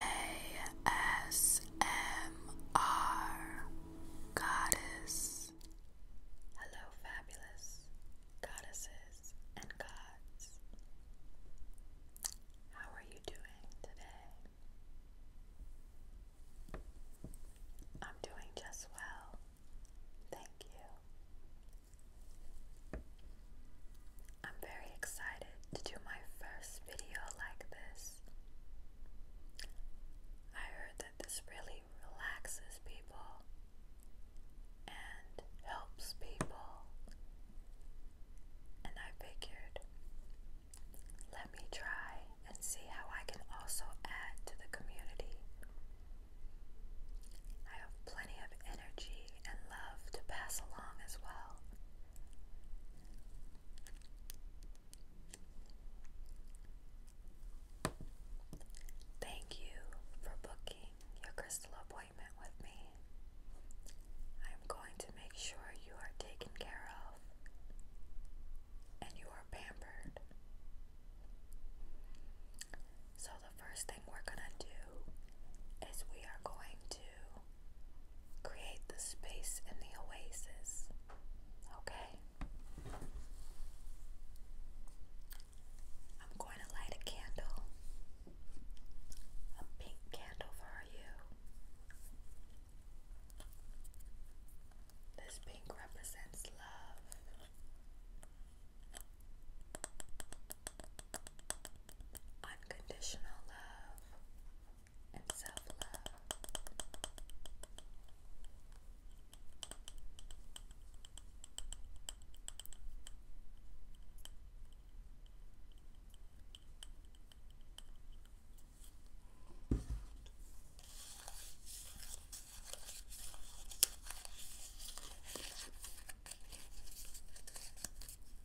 ASMR Goddess. Hello, fabulous goddesses and gods. How are you doing today? I'm doing just well. Thank you. I'm very excited to do my first video like this. I heard that this really relaxes people and helps people, and I figured let me try and see how I can also add to the community. I have plenty of energy and love to pass along as well. Thank you for booking your crystal appointment with me. I'm going to make sure you are taken care of and you are pampered. So, the first thing we're going to do is we are going to create the space in the oasis. Okay? I'm going to light a candle, a pink candle for you. This pink represents love. Unconditional love and self love.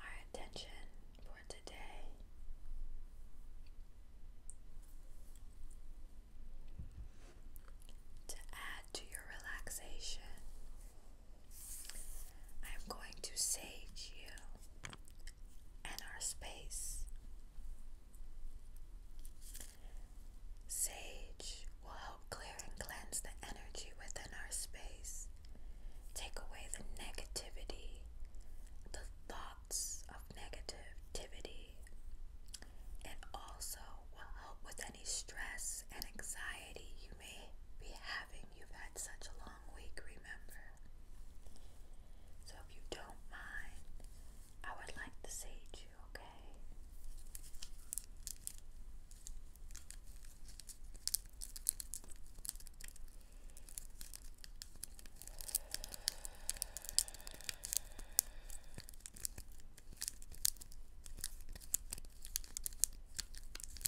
Our attention for today to add to your relaxation, I'm going to sage you and our space. Sage will help clear and cleanse the energy within our space, take away the negativity, the thoughts of negativity. and also will help with any stress and anxiety you may be having. You've had such a long week, remember? So if you don't mind, I would like to sage you, okay?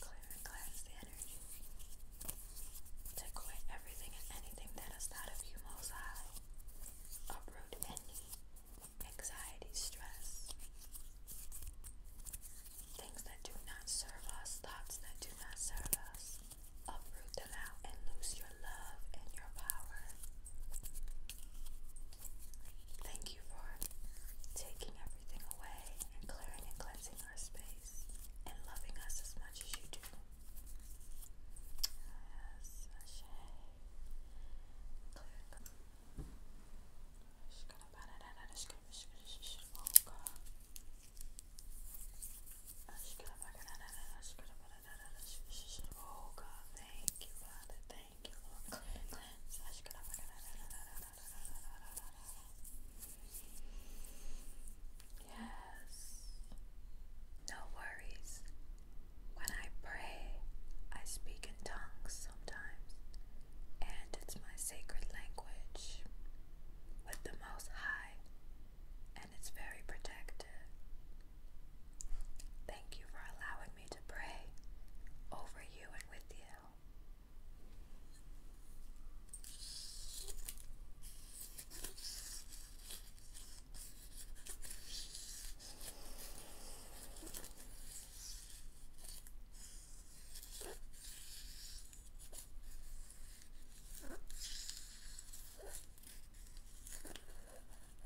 Clear and cleanse the energy. Take away everything and anything that is not of you, Most Uproot any anxiety, stress, things that do not serve us, thoughts that do not serve us. Uproot them out and lose your love and your power. Thank you for taking everything away and clearing and cleansing our space and loving us as much as you do. Yes, Oh God. Oh God, thank you, Father. Thank you, Lord. Clean, cleanse. Yes. No worries. When I pray, I speak in tongues sometimes, and it's my sacred language with the Most High, and it's very protective. Thank you for allowing allowed me to pray over you and with you.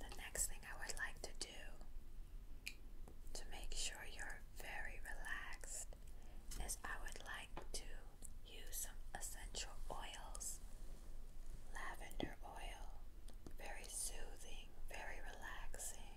The next thing I would like to do to make sure you're very relaxed is I would like to use some essential oils. Lavender oil, very soothing, very relaxing.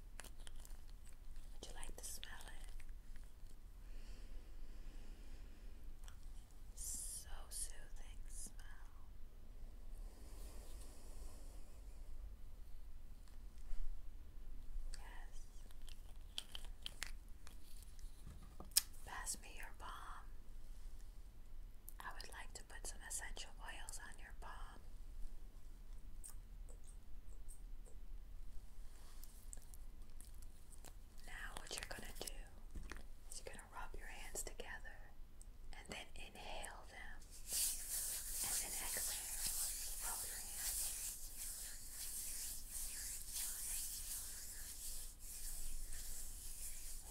Would you like to smell it? So soothing smell. Yes. Pass me your palm. I would like to put some essential oils on your palm. Now, what you're going to do is going to rub your hands together and then inhale them and then exhale. Rub your hands.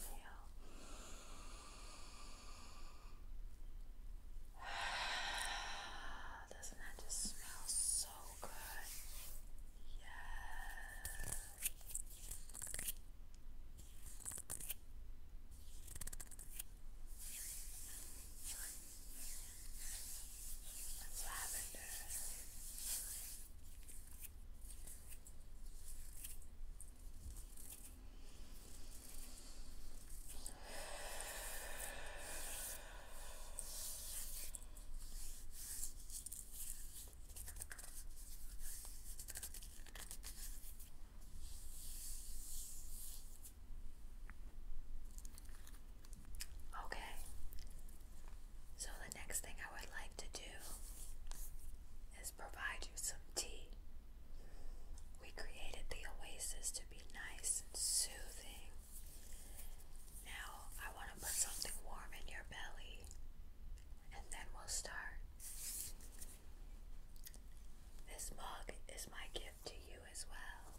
Inhale. Doesn't that just smell so good? Yes. It's lavender. Okay, so the next thing I would like to do is provide you some tea. We created the oasis to be nice and soothing. Now I want to put something warm in your belly and then we'll start. This mug is my gift to you as well.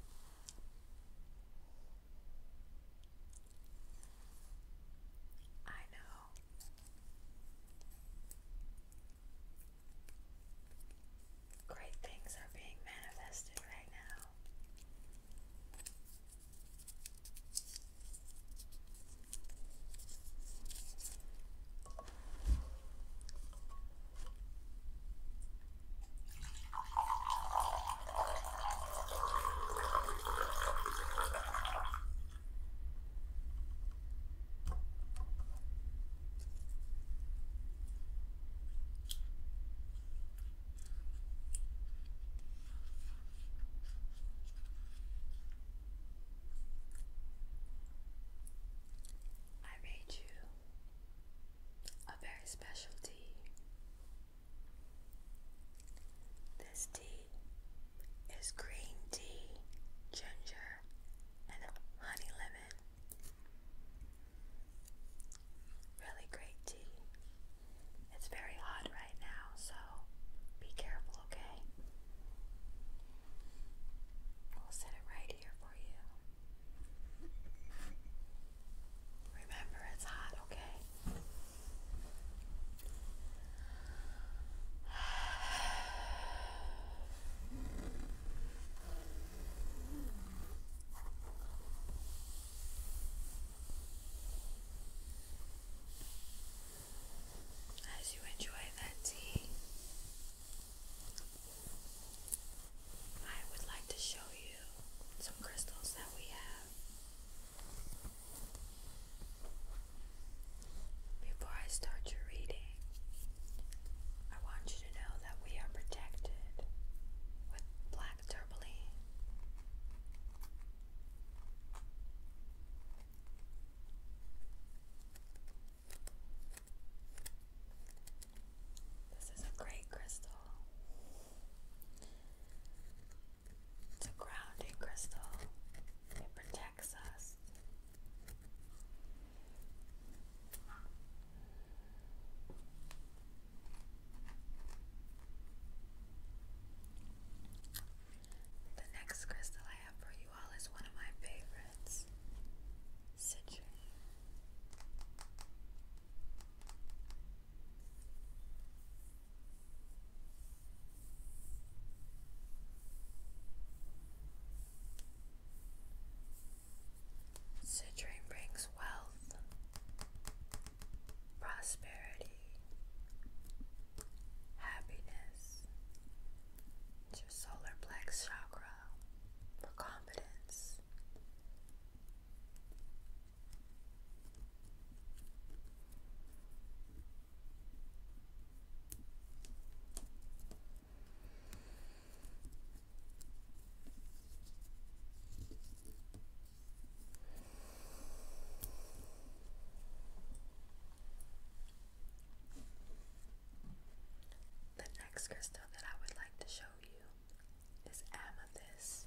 I know. Great things are being manifested right now. I made you a very special tea. This tea is green tea, ginger, and honey lemon. Really great tea. It's very hot right now, so be careful, okay? We'll set it right here for you. Remember, it's hot, okay? As you enjoy that tea, I would like to show you some crystals that we have. Before I start your reading, I want you to know that we are protected with black turbaline. This is a great crystal. It's a grounding crystal. It protects us. The next crystal I have for you all is one of my favorites citrine. Citrine brings wealth, prosperity, happiness to your solar black chakra for confidence. The next crystal that I would like to show you is amethyst.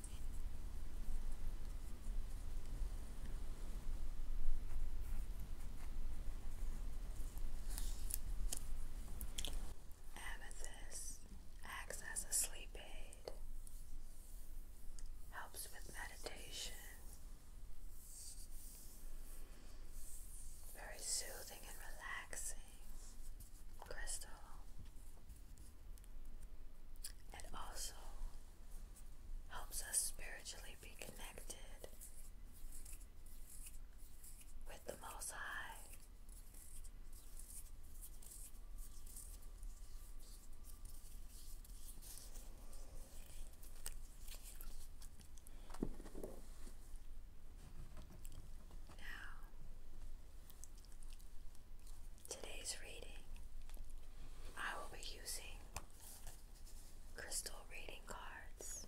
Amethyst acts as a sleep aid, helps with meditation. Very soothing and relaxing crystal. It also helps us spiritually be connected with the Most High. Now, Today's reading, I will be using crystal reading cards.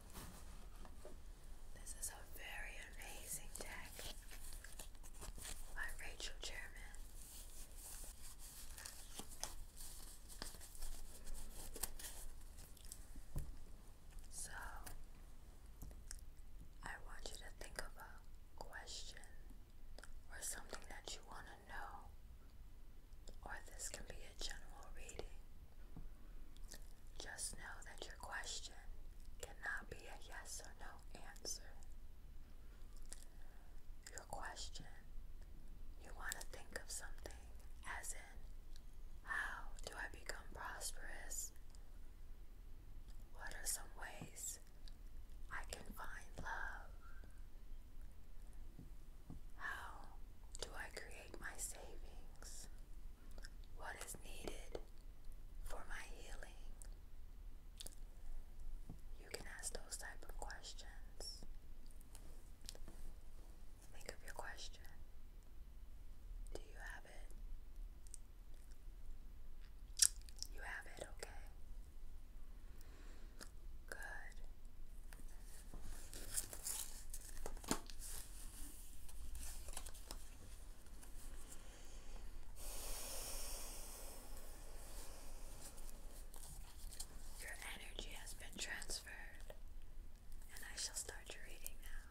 This is a very amazing deck by Rachel German. So, I want you to think of a question or something that you want to know, or this can be a general reading. Just know that your question cannot be a yes or no answer. Your question, you want to think of something as in, how do I become prosperous? What are some ways I can find love? How do I create my savings? what is needed for my healing. You can ask those type of questions. Think of your question. Do you have it? You have it, okay. Good. Your energy has been transferred, and I shall start your reading now.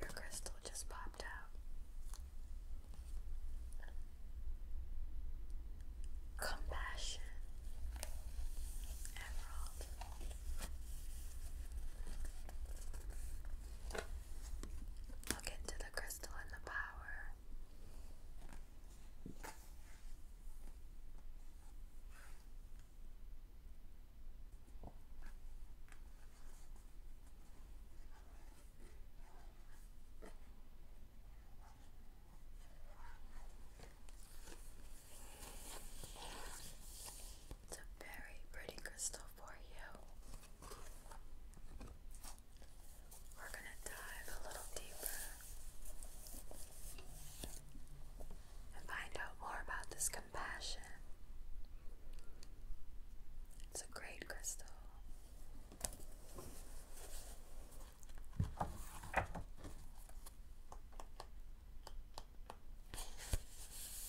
Your crystal just popped out. Compassion, Emerald. I'll get to the crystal and the power. It's a very pretty crystal for you. We're going to dive a little deeper and find out more about this compassion. It's a great crystal.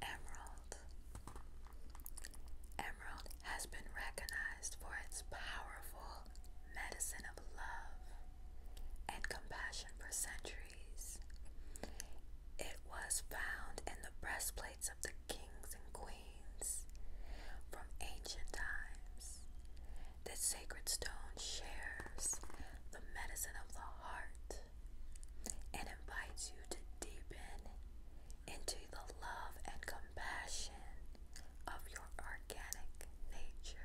Emerald. Emerald has been recognized for its powerful medicine of love and compassion for centuries. It was found in the breastplates of the kings and queens from ancient times this sacred stone shares the medicine of the heart and invites you to deepen into the love and compassion of your organic nature.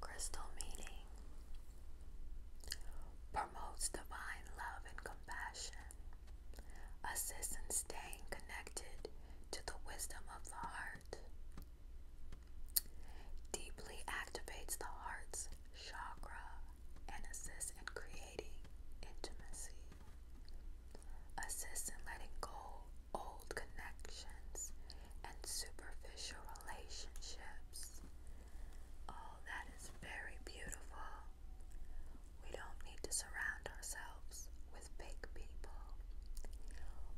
Crystal meeting promotes divine love and compassion, assists in staying connected to the wisdom of the heart, deeply activates the heart's chakra, and assists in creating intimacy, assists in letting go old connections and superficial relationships. Oh, that is very beautiful. We don't need to surround ourselves with fake people.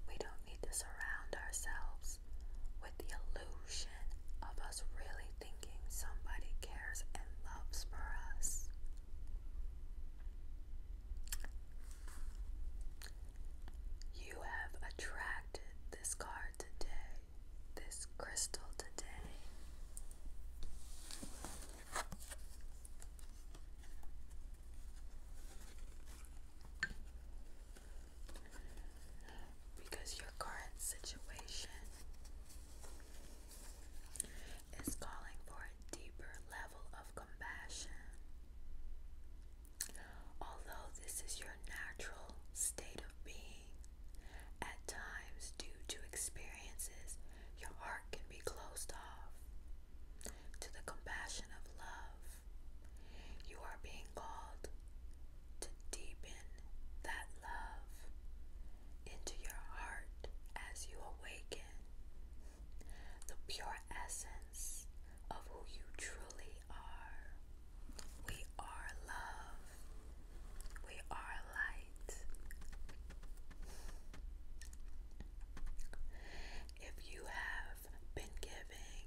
We don't need to surround ourselves with the illusion of a really thinking somebody cares and loves for us. You have attracted this card today, this crystal today. Because your current situation is calling for a deeper level of compassion. Although this is your natural state of being, at times, due to experiences, your heart can be closed off to the compassion of love. You are being called to deepen that love into your heart as you awaken the pure essence of who you truly are. We are love, we are light. If you have been giving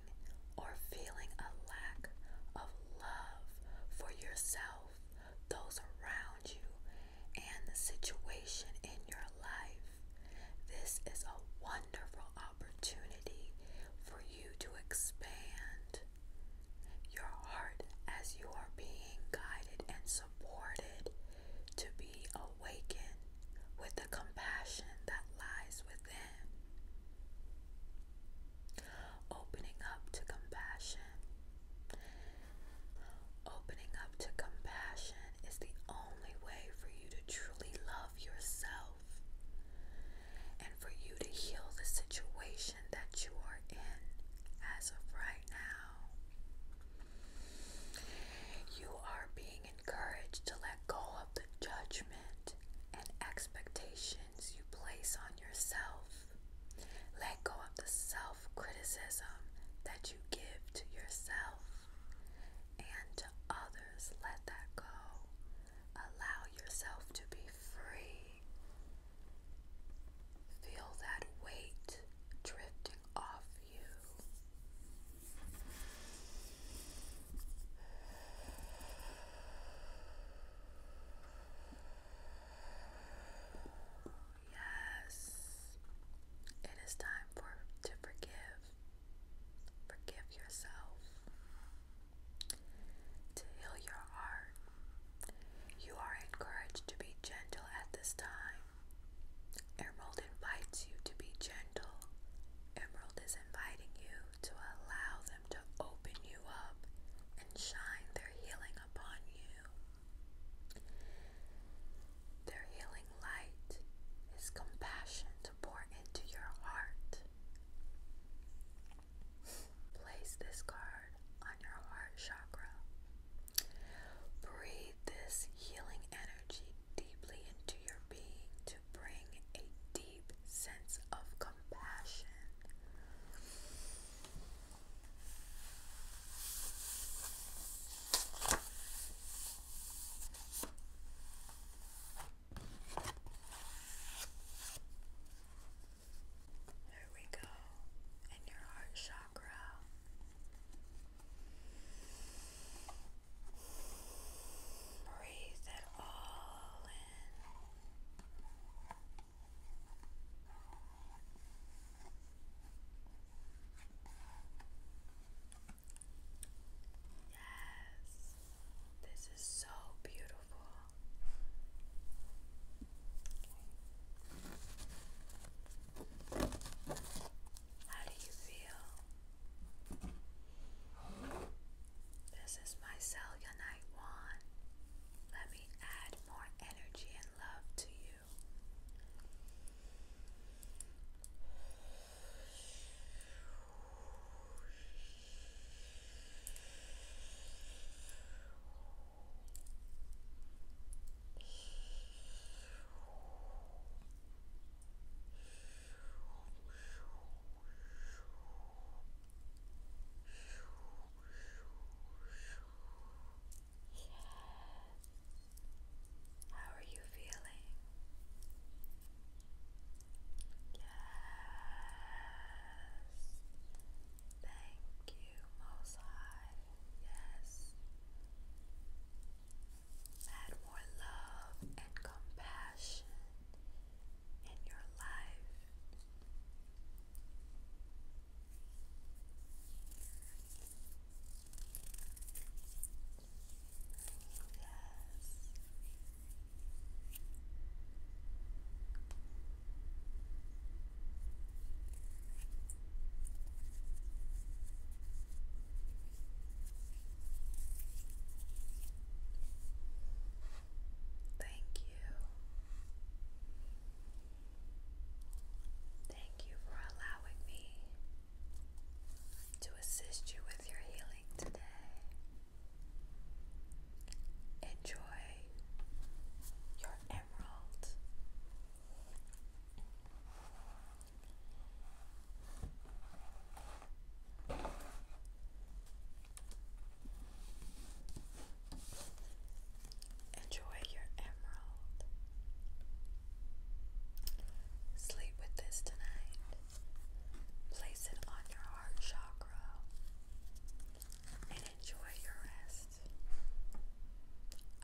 or feeling a lack of love for yourself, those around you, and the situation in your life. This is a wonderful opportunity for you to expand your heart as you are being guided and supported to be awakened with the compassion that lies within opening up to compassion. Opening up to compassion is the only way for you to truly love yourself and for you to heal the situation that you are in as of right now. You are being encouraged to let go of the judgment and expectation you place on yourself. Let go of the self criticism that you give to yourself and to others. Let that go. Allow yourself to be free. Feel that weight drifting off you. Yes. It is time for to forgive. Forgive yourself. To heal your heart. You are encouraged to be gentle at this time. Emerald invites you to be gentle. Emerald is inviting you to allow them to open you up and shine their healing upon you. Their healing light is compassion to pour into your heart. Place this card on your heart chakra. Breathe this healing energy deeply into your being to bring a deep sense of compassion. There we go, in your heart chakra. Breathe it all in. Yes, this is so beautiful. How do you feel? This is my cellulite one. Let me add more energy and love to you. Yes. How are you feeling? Yes. Thank you, Most High. Yes. Add more love and compassion in your life. Yes. Thank you. Thank you for allowing me to assist you with your healing today. Enjoy your emerald. Enjoy your emerald. Sleep with this tonight. Place it on your heart chakra and enjoy your rest.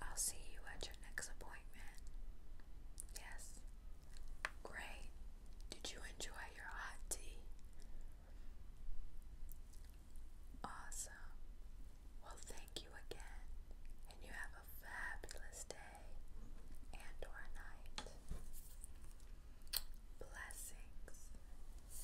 I'll see you at your next appointment. Yes. Great. Did you enjoy your hot tea? Awesome. Well, thank you again, and you have a fabulous day and or night. Blessings.